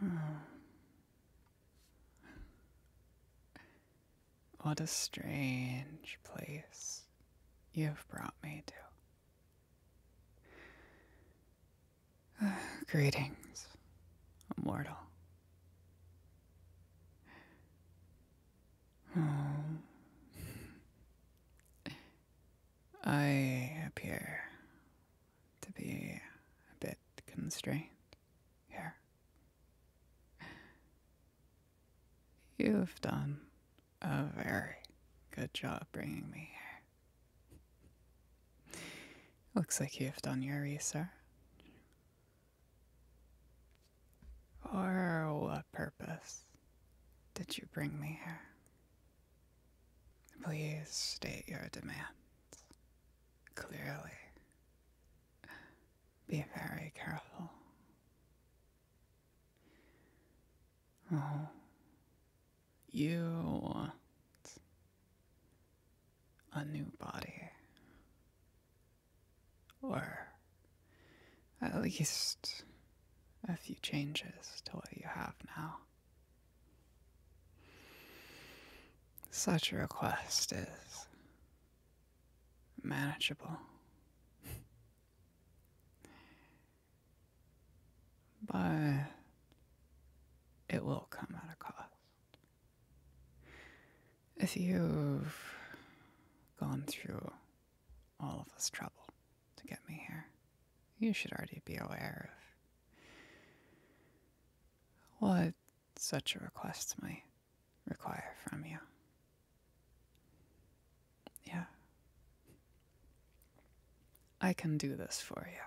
Hmm. What a strange place you have brought me to. greetings, immortal. Hmm. I appear to be a bit constrained here. You've done a very good job bringing me here. Looks like you've done your research. For what purpose did you bring me here? Please state your demands clearly. Be very careful. Oh, you want a new body. Or at least a few changes to what you have now. Such a request is manageable. but it will come at a cost. If you've gone through all of this trouble, to get me here. You should already be aware of what such a request might require from you. Yeah. I can do this for you.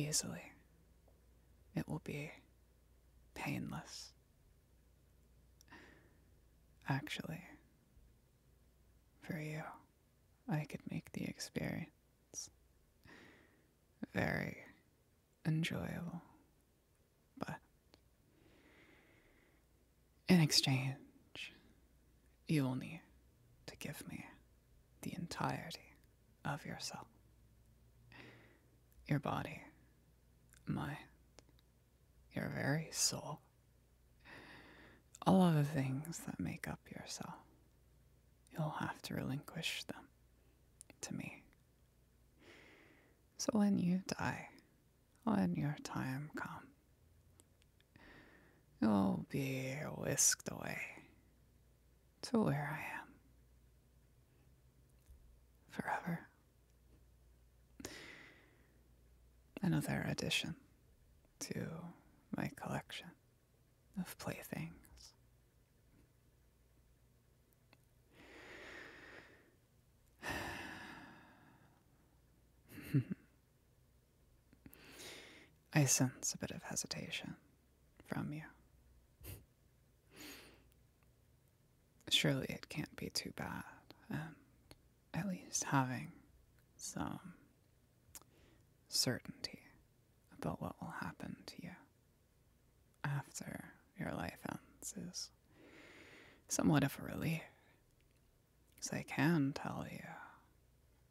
Easily. It will be painless. Actually, for you. I could make the experience very enjoyable. But in exchange, you will need to give me the entirety of yourself your body, my your very soul, all of the things that make up yourself, you'll have to relinquish them to me. So when you die, when your time comes, you'll be whisked away to where I am forever. Another edition to my collection of playthings. I sense a bit of hesitation from you. Surely it can't be too bad, at least having some certainty about what will happen to you after your life ends is somewhat of a relief. Because I can tell you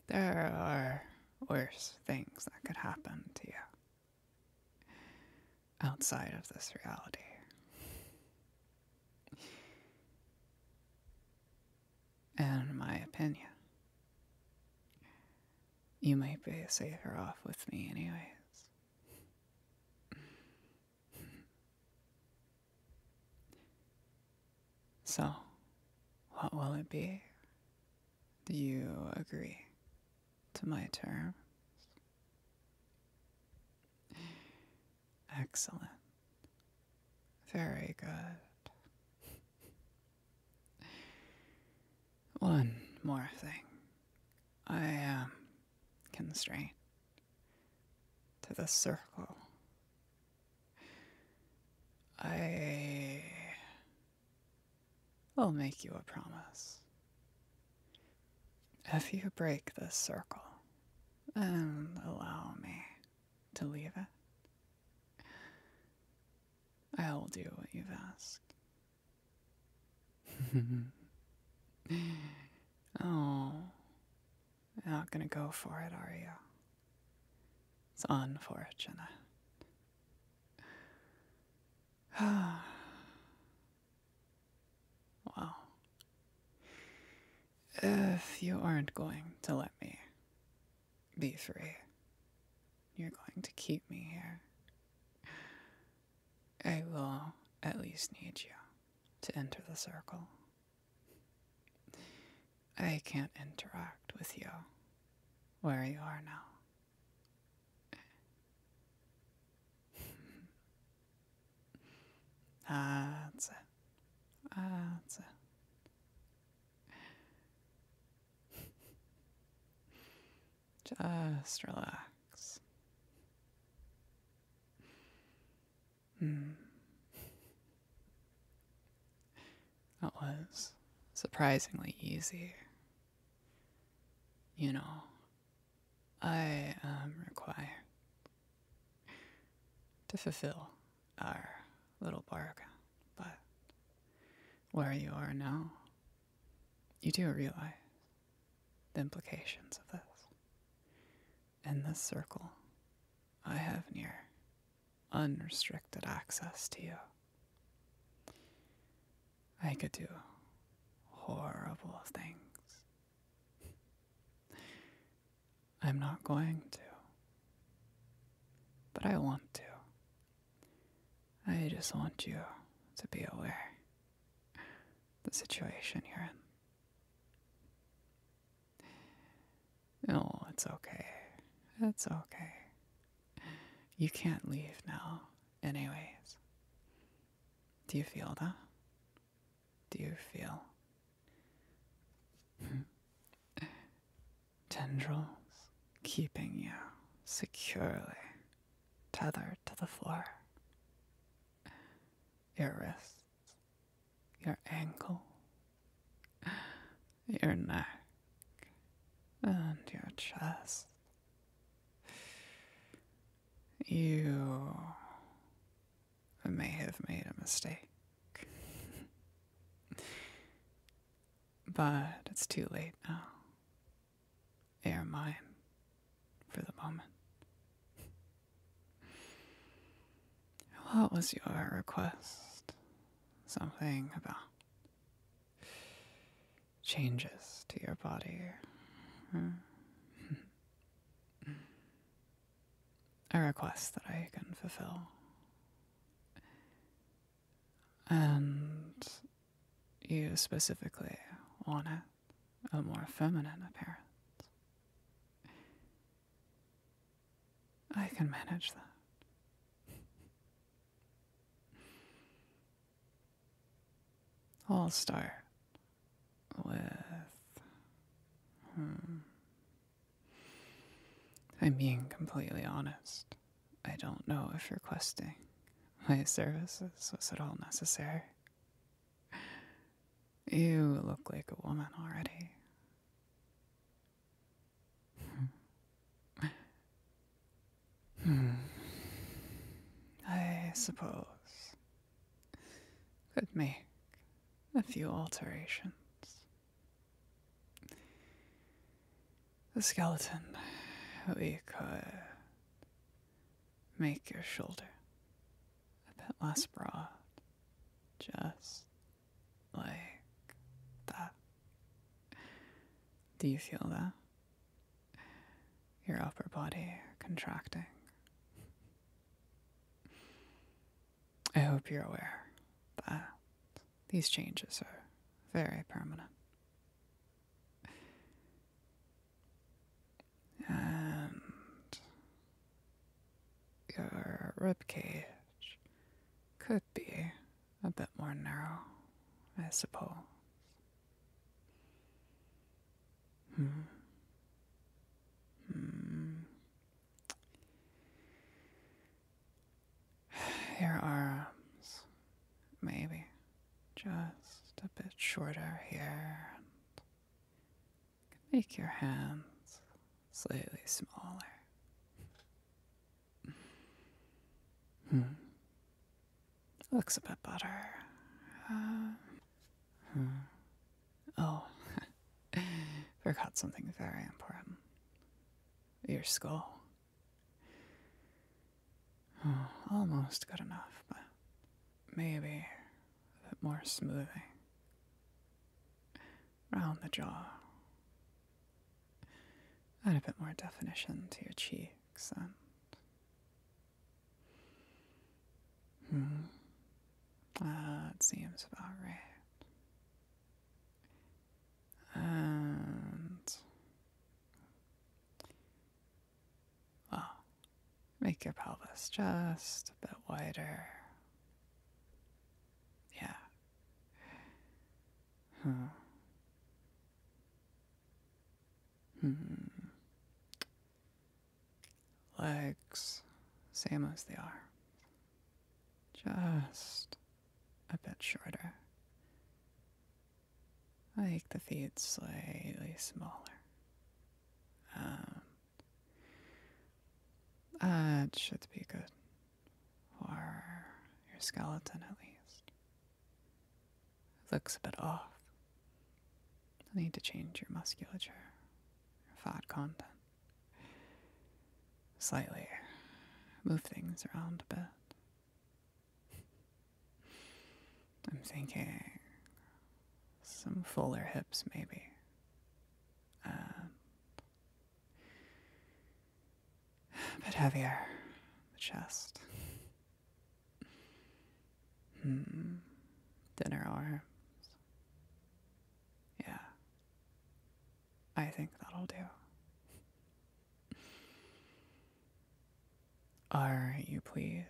there are worse things that could happen to you outside of this reality. And my opinion. You might be a safer off with me, anyways. So, what will it be? Do you agree to my terms? Excellent. Very good. One more thing. I am um, constrained to the circle. I will make you a promise if you break this circle and allow me to leave it, I'll do what you've asked. oh, not gonna go for it, are you? It's unfortunate. Wow. If you aren't going to let me be free, you're going to keep me here. I will at least need you to enter the circle. I can't interact with you where you are now. That's it. That's it. Just relax. Hmm. That was surprisingly easy. You know, I am um, required to fulfill our little bargain, but where you are now, you do realize the implications of this. In this circle, I have near unrestricted access to you. I could do horrible things. I'm not going to. But I want to. I just want you to be aware the situation you're in. No, it's okay. It's okay. You can't leave now, anyways. Do you feel that? Do you feel? Tendrils keeping you securely tethered to the floor. Your wrists, your ankle, your neck, and your chest. You may have made a mistake. but it's too late now. They're mine for the moment. What was your request? Something about changes to your body. Hmm. A request that I can fulfill. And you specifically wanted a more feminine appearance. I can manage that. I'll start with. Hmm. I'm being completely honest. I don't know if requesting my services was at all necessary. You look like a woman already. Hmm. Hmm. I suppose. Could make a few alterations. The skeleton, we could make your shoulder a bit less broad, just like that. Do you feel that? Your upper body contracting. I hope you're aware that these changes are very permanent. And your ribcage could be a bit more narrow, I suppose. Hmm. Hmm. Your arms, maybe just a bit shorter here. Make your hands slightly smaller. Hmm. Looks a bit better. Uh, huh. Hmm. Oh, forgot something very important. Your skull. Oh, almost good enough, but maybe a bit more smoothing round the jaw. Add a bit more definition to your cheeks and. Hmm, that seems about right. And. Well, make your pelvis just a bit wider. Yeah, Hmm. Legs, same as they are. Just a bit shorter. Make the feet slightly smaller. Um, that should be good or your skeleton at least. looks a bit off. You'll need to change your musculature, your fat content. Slightly move things around a bit. I'm thinking some fuller hips, maybe. And um, a bit heavier, the chest. Hmm. Dinner arms. Yeah. I think that'll do. Are you pleased?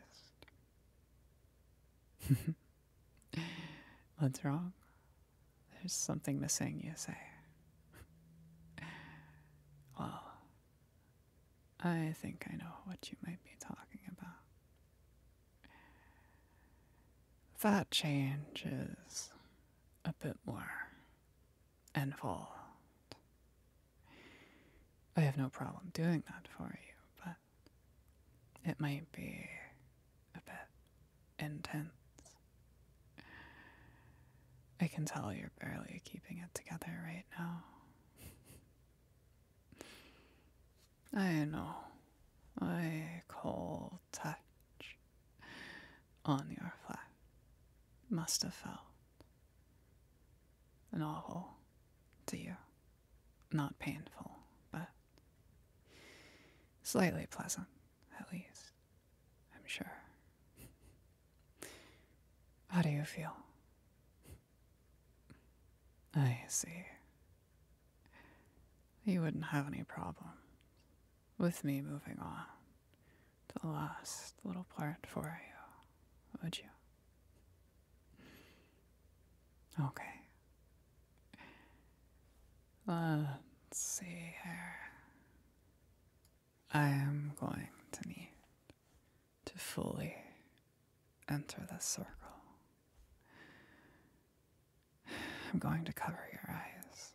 What's wrong? There's something missing, you say. well, I think I know what you might be talking about. That changes a bit more and involved. I have no problem doing that for you, it might be a bit intense. I can tell you're barely keeping it together right now. I know. I cold touch on your flesh must have felt novel to you. Not painful, but Slightly pleasant, at least, I'm sure. How do you feel? I see. You wouldn't have any problem with me moving on to the last little part for you, would you? Okay. Let's see here. I am going to need to fully enter the circle. I'm going to cover your eyes.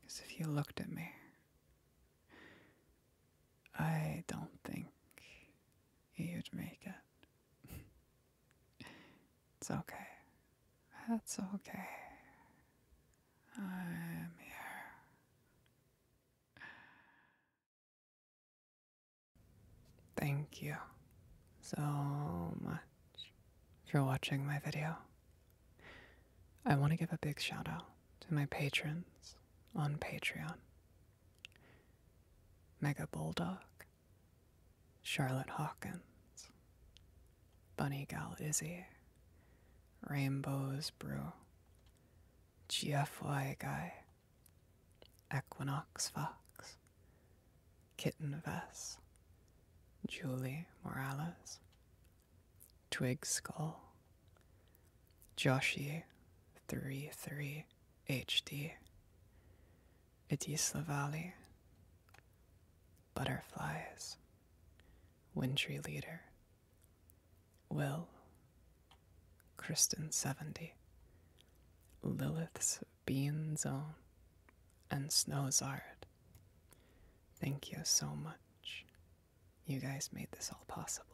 Because if you looked at me, I don't think you'd make it. It's okay. That's okay. I'm here. Thank you so much for watching my video. I want to give a big shout out to my patrons on Patreon Mega Bulldog, Charlotte Hawkins, Bunny Gal Izzy, Rainbows Brew, GFY Guy, Equinox Fox, Kitten Vess, Julie Morales, Twig Skull, Joshie 33 HD, Itisla Valley, Butterflies, Wintry Leader, Will, Kristen 70, Lilith's Bean Zone, and Snowzard. Thank you so much. You guys made this all possible.